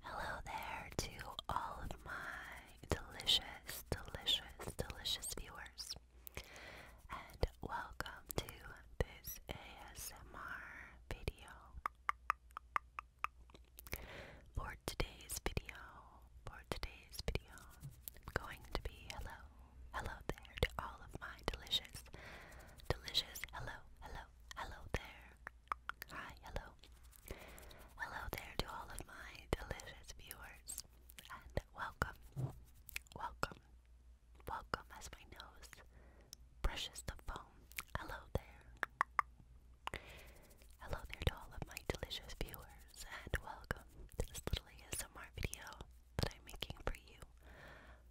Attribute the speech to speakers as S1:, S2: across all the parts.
S1: Hello there to all of my delicious, delicious, delicious viewers, and welcome to this ASMR video. For today's video, for today's video, I'm going to be hello, hello there to all of my delicious, delicious, hello, hello, hello there Hi, hello. Hello there to all of my delicious viewers. And welcome, welcome, welcome as my nose brushes the foam. Hello there. Hello there to all of my delicious viewers, and welcome to this little ASMR video that I'm making for you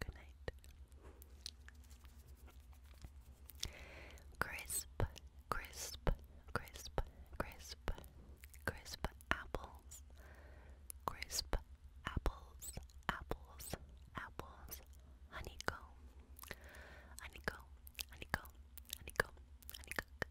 S1: Good night. Crisp, crisp, crisp, crisp, crisp apples. Crisp apples, apples, apples. Honeycomb, honeycomb, honeycomb, honeycomb, honeycomb,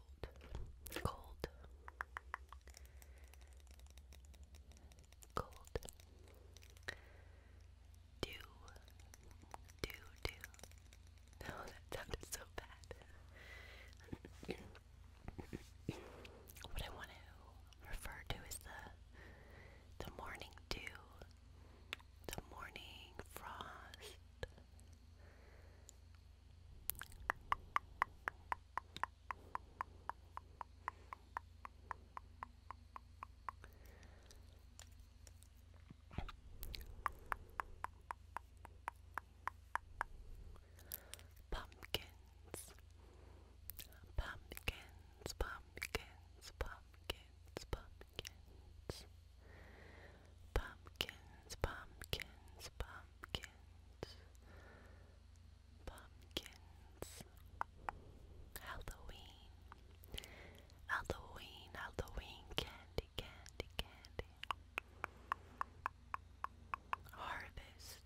S1: cold, cold, cold. Do, do, do. No, oh, that sounded so bad. what I want to refer to is the the morning dew, the morning frost, Pumpkins, pumpkins, pumpkins, pumpkins, pumpkins pumpkins, pumpkins, pumpkins, pumpkins, Halloween, Halloween, Halloween, candy, candy, candy, harvest,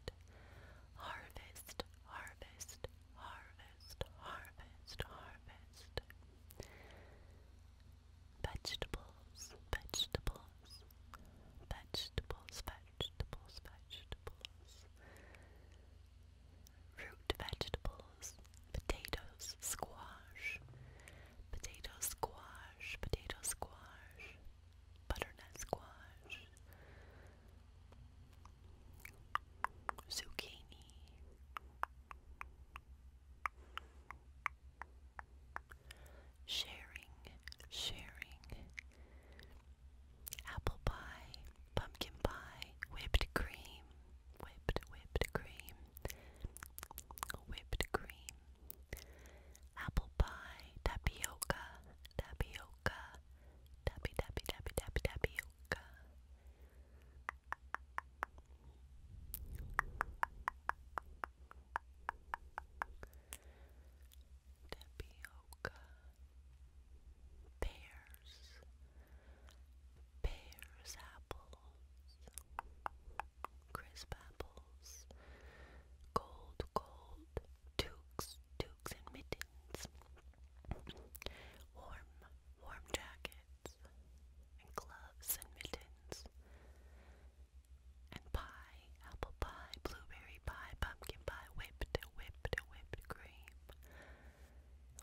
S1: harvest, harvest, harvest, harvest, harvest vegetables, vegetables, vegetables, vegetables, vegetables, root vegetables, potatoes, squash, potato squash, potato squash, butternut squash, zucchini sharing, sharing, apple pie, pumpkin pie, whipped cream, whipped, whipped cream, whipped cream, apple pie, tapioca, tapioca, tappy, tappy, tappy, tappy, tapioca tapioca, pears, pears, apples, crisp apples, gold, gold, toques, toques and mittens, warm, warm jackets, and gloves and mittens and pie, apple pie, blueberry pie, pumpkin pie, whipped, whipped, whipped cream,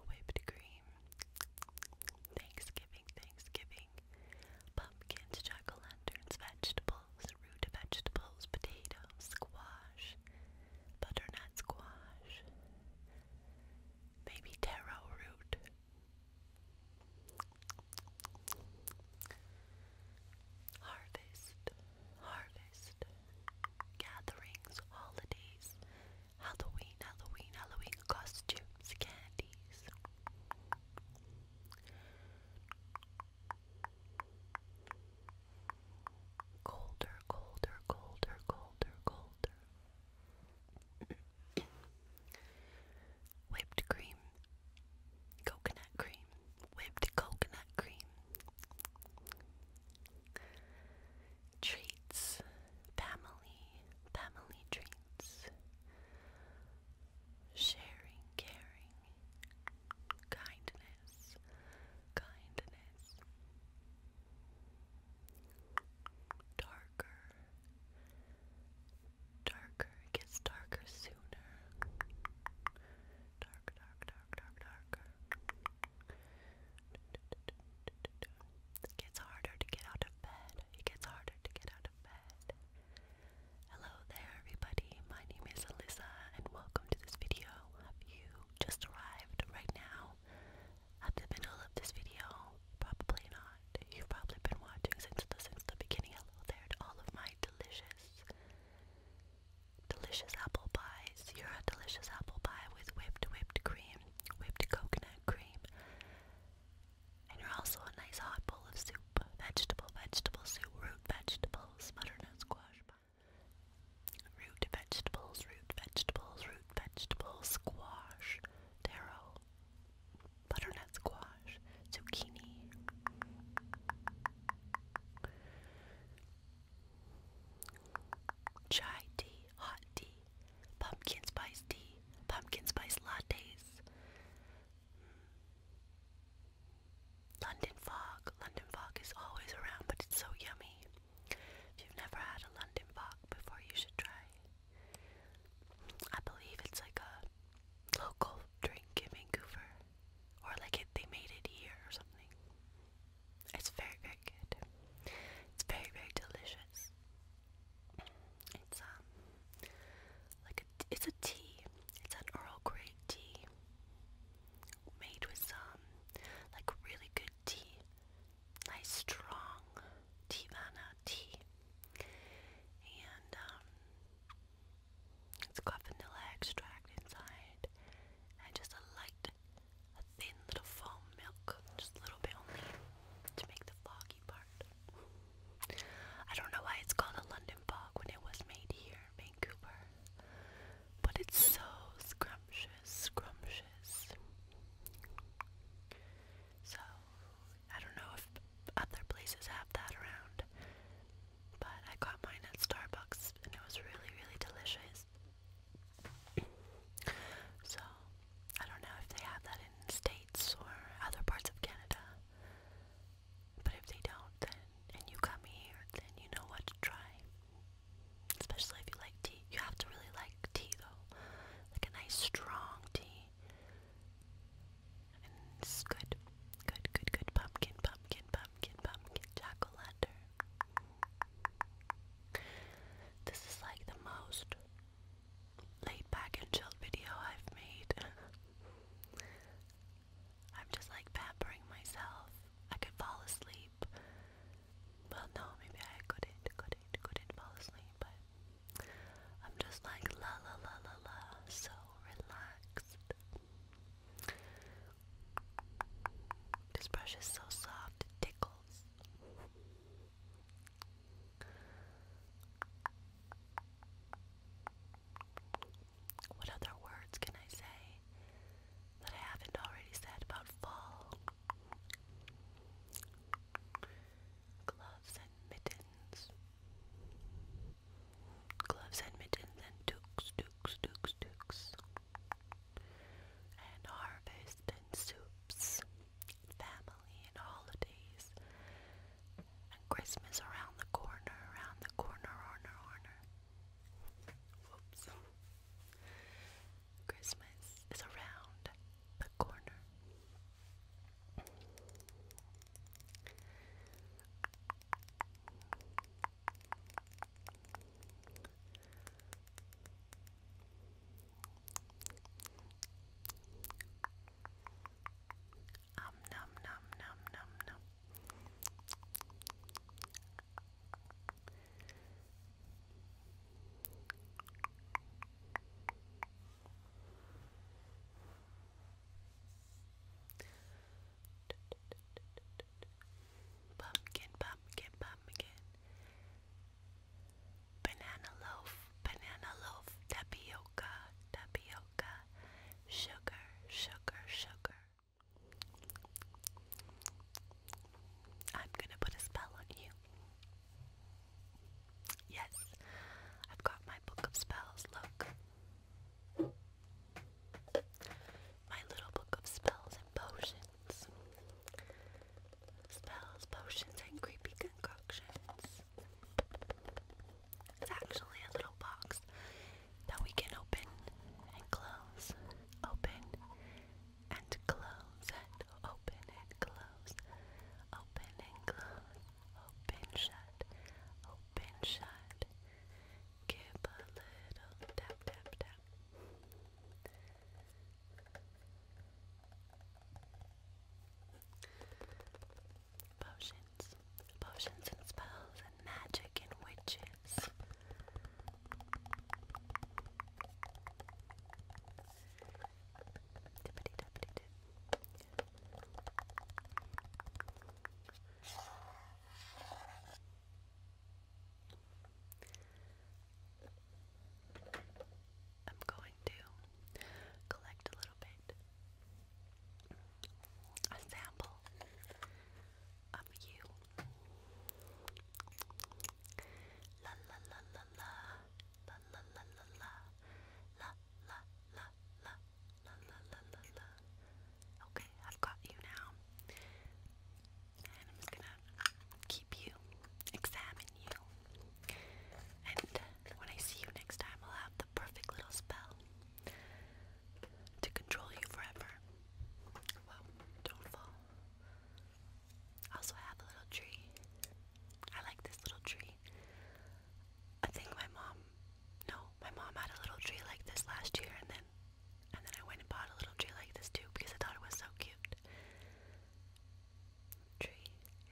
S1: whipped cream, Thanksgiving, Thanksgiving, pumpkins, jack-o'-lanterns, vegetables, root vegetables, potatoes, squash, butternut squash, maybe taro root, Harvest, harvest, gatherings, holidays, Halloween, Halloween, Halloween, costumes, candies. Colder, colder, colder, colder, colder whipped cream, coconut cream, whipped coconut cream, treats, family, family treats, sharing, caring, kindness, kindness. Darker, darker. It gets darker sooner. Dark, dark, dark, dark, It gets harder to get out of bed. It gets harder to get out of bed. Hello there, everybody. My name is Alyssa, and welcome to this video. Have you just arrived right now? At the middle of this video, probably not. You've probably been watching since the since the beginning. Hello there to all of my delicious, delicious apple pies. You're a delicious apple pie with whipped whipped cream, whipped coconut cream, and you're also a nice hot bowl of soup. Vegetable, vegetable soup, root vegetables, butternut squash. Root vegetables, root vegetables, root vegetables, squash, taro, butternut squash, zucchini. Chai tea, hot tea, pumpkin spice tea, pumpkin spice lattes, hmm. London fog. London fog is always around, but it's so yummy. If you've never had a London fog before, you should try I believe it's like a local drink in Vancouver, or like it, they made it here or something. It's very, very good. It's very, very delicious. It's um like a it's a tea. It's an Earl Grey tea made with some like really good tea nice strong tea. And um, it extract inside and just a light, a thin little foam milk. Just a little bit only to make the foggy part. I don't know why it's called a London fog when it was made here Vancouver. But it's so scrumptious, scrumptious. So I don't know if other places have that around, but I got mine at Starbucks and it was really, really delicious. so I don't know if they have that in states or other parts of Canada. But if they don't, then and you come here, then you know what to try especially if you like tea. You have to really like tea though, like a nice strong tea. And it's good, good, good, good. Pumpkin, pumpkin, pumpkin, pumpkin, chocolate. This is like the most laid back and chilled video I've made. I'm just like pampering myself. I could fall asleep. Well, no, maybe I couldn't, couldn't, couldn't fall asleep, but I'm just like la la la la la, so relaxed. This brush is so soft, it tickles. What other words can I say that I haven't already said about fall? Gloves and mittens. Gloves and mittens and dukes, dukes, dukes, dukes. And harvest and soups. Family and holidays. And Christmas around the corner, around the corner, corner, corner. Whoops. Christmas is around the corner. Um num num num num num Pumpkin, pumpkin, pumpkin. Banana loaf, banana loaf, tapioca, tapioca, sugar, sugar, sugar. I'm gonna put a spell on you. Yes, I've got my book of spells, look. My little book of spells and potions. Spells, potions, and creepy concoctions. It's actually a little box that we can open and close. Open and close and open and close, open and close, open shut, open shut. Give a little tap tap tap. Potions, potions and spells and magic and witches. I'm going to collect a little bit, a sample of you. La la la la la la la la la la la la la la la la la la. Okay, I've got you now. And I'm just gonna keep you, examine you. And when I see you next time, I'll have the perfect little spell to control you forever. Well, don't fall. I Also, have a little tree. I like this little tree. I think my mom, no, my mom had a little tree like this last year, and then, and then I went and bought a little tree like this too because I thought it was so cute. Tree,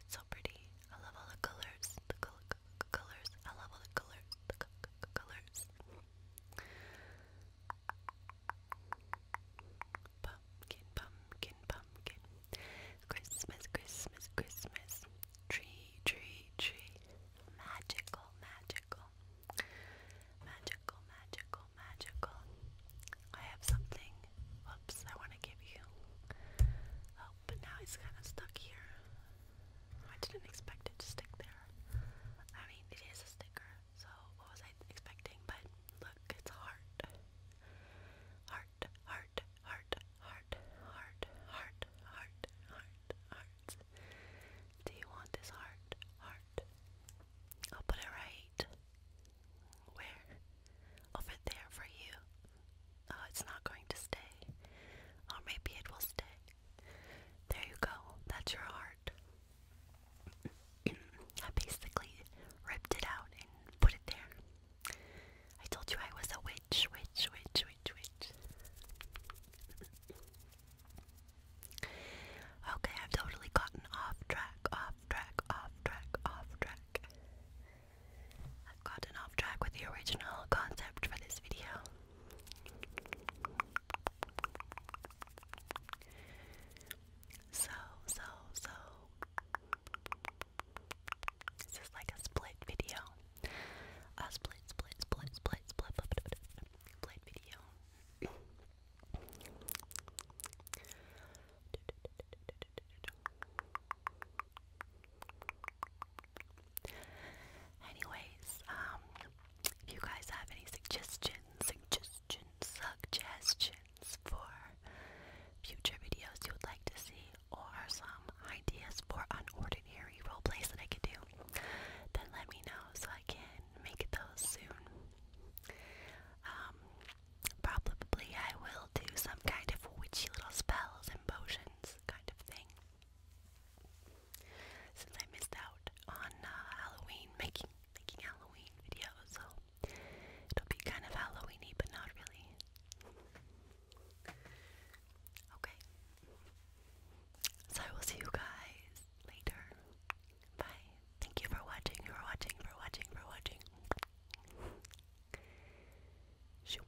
S1: it's so pretty. I love all the colors. The col colors. I love all the colors. The colors. Pumpkin, pumpkin, pumpkin. Christmas, Christmas, Christmas. Tree, tree, tree. Magical, magical. Magical, magical, magical. I have something. Whoops, I want to give you. Oh, but now it's kind of stuck here. I didn't expect it to stick there. I mean, it is a sticker. So what was I expecting? But look, it's heart. Heart, heart, heart, heart, heart, heart, heart, heart, heart. Do you want this heart? Heart. I'll put it right. Where? Over there for you. Oh, it's not going to stay. Or maybe it will stay. There you go. That's your heart. I basically ripped it out and put it there. I told you I was a witch, witch, witch, witch, witch. okay, I've totally gotten off track, off track, off track, off track. I've gotten off track with the original concept for this video. So, so, so. This is like a split video. A split, split, split, split, split, split, split, split video. Anyways, um, if you guys have any suggestions, suggestions, suggestions for future videos you would like to see, or some ideas for unordinary roleplays that I could do, then let me know so I can make those soon. Um, probably I will do some kind of witchy little spells and potions kind of thing since I missed out on uh, Halloween making making Halloween videos, so it'll be kind of Halloweeny, but not really. Okay, so I will see you guys later. Bye. Thank you for watching. For watching. For watching. For watching. Shoop.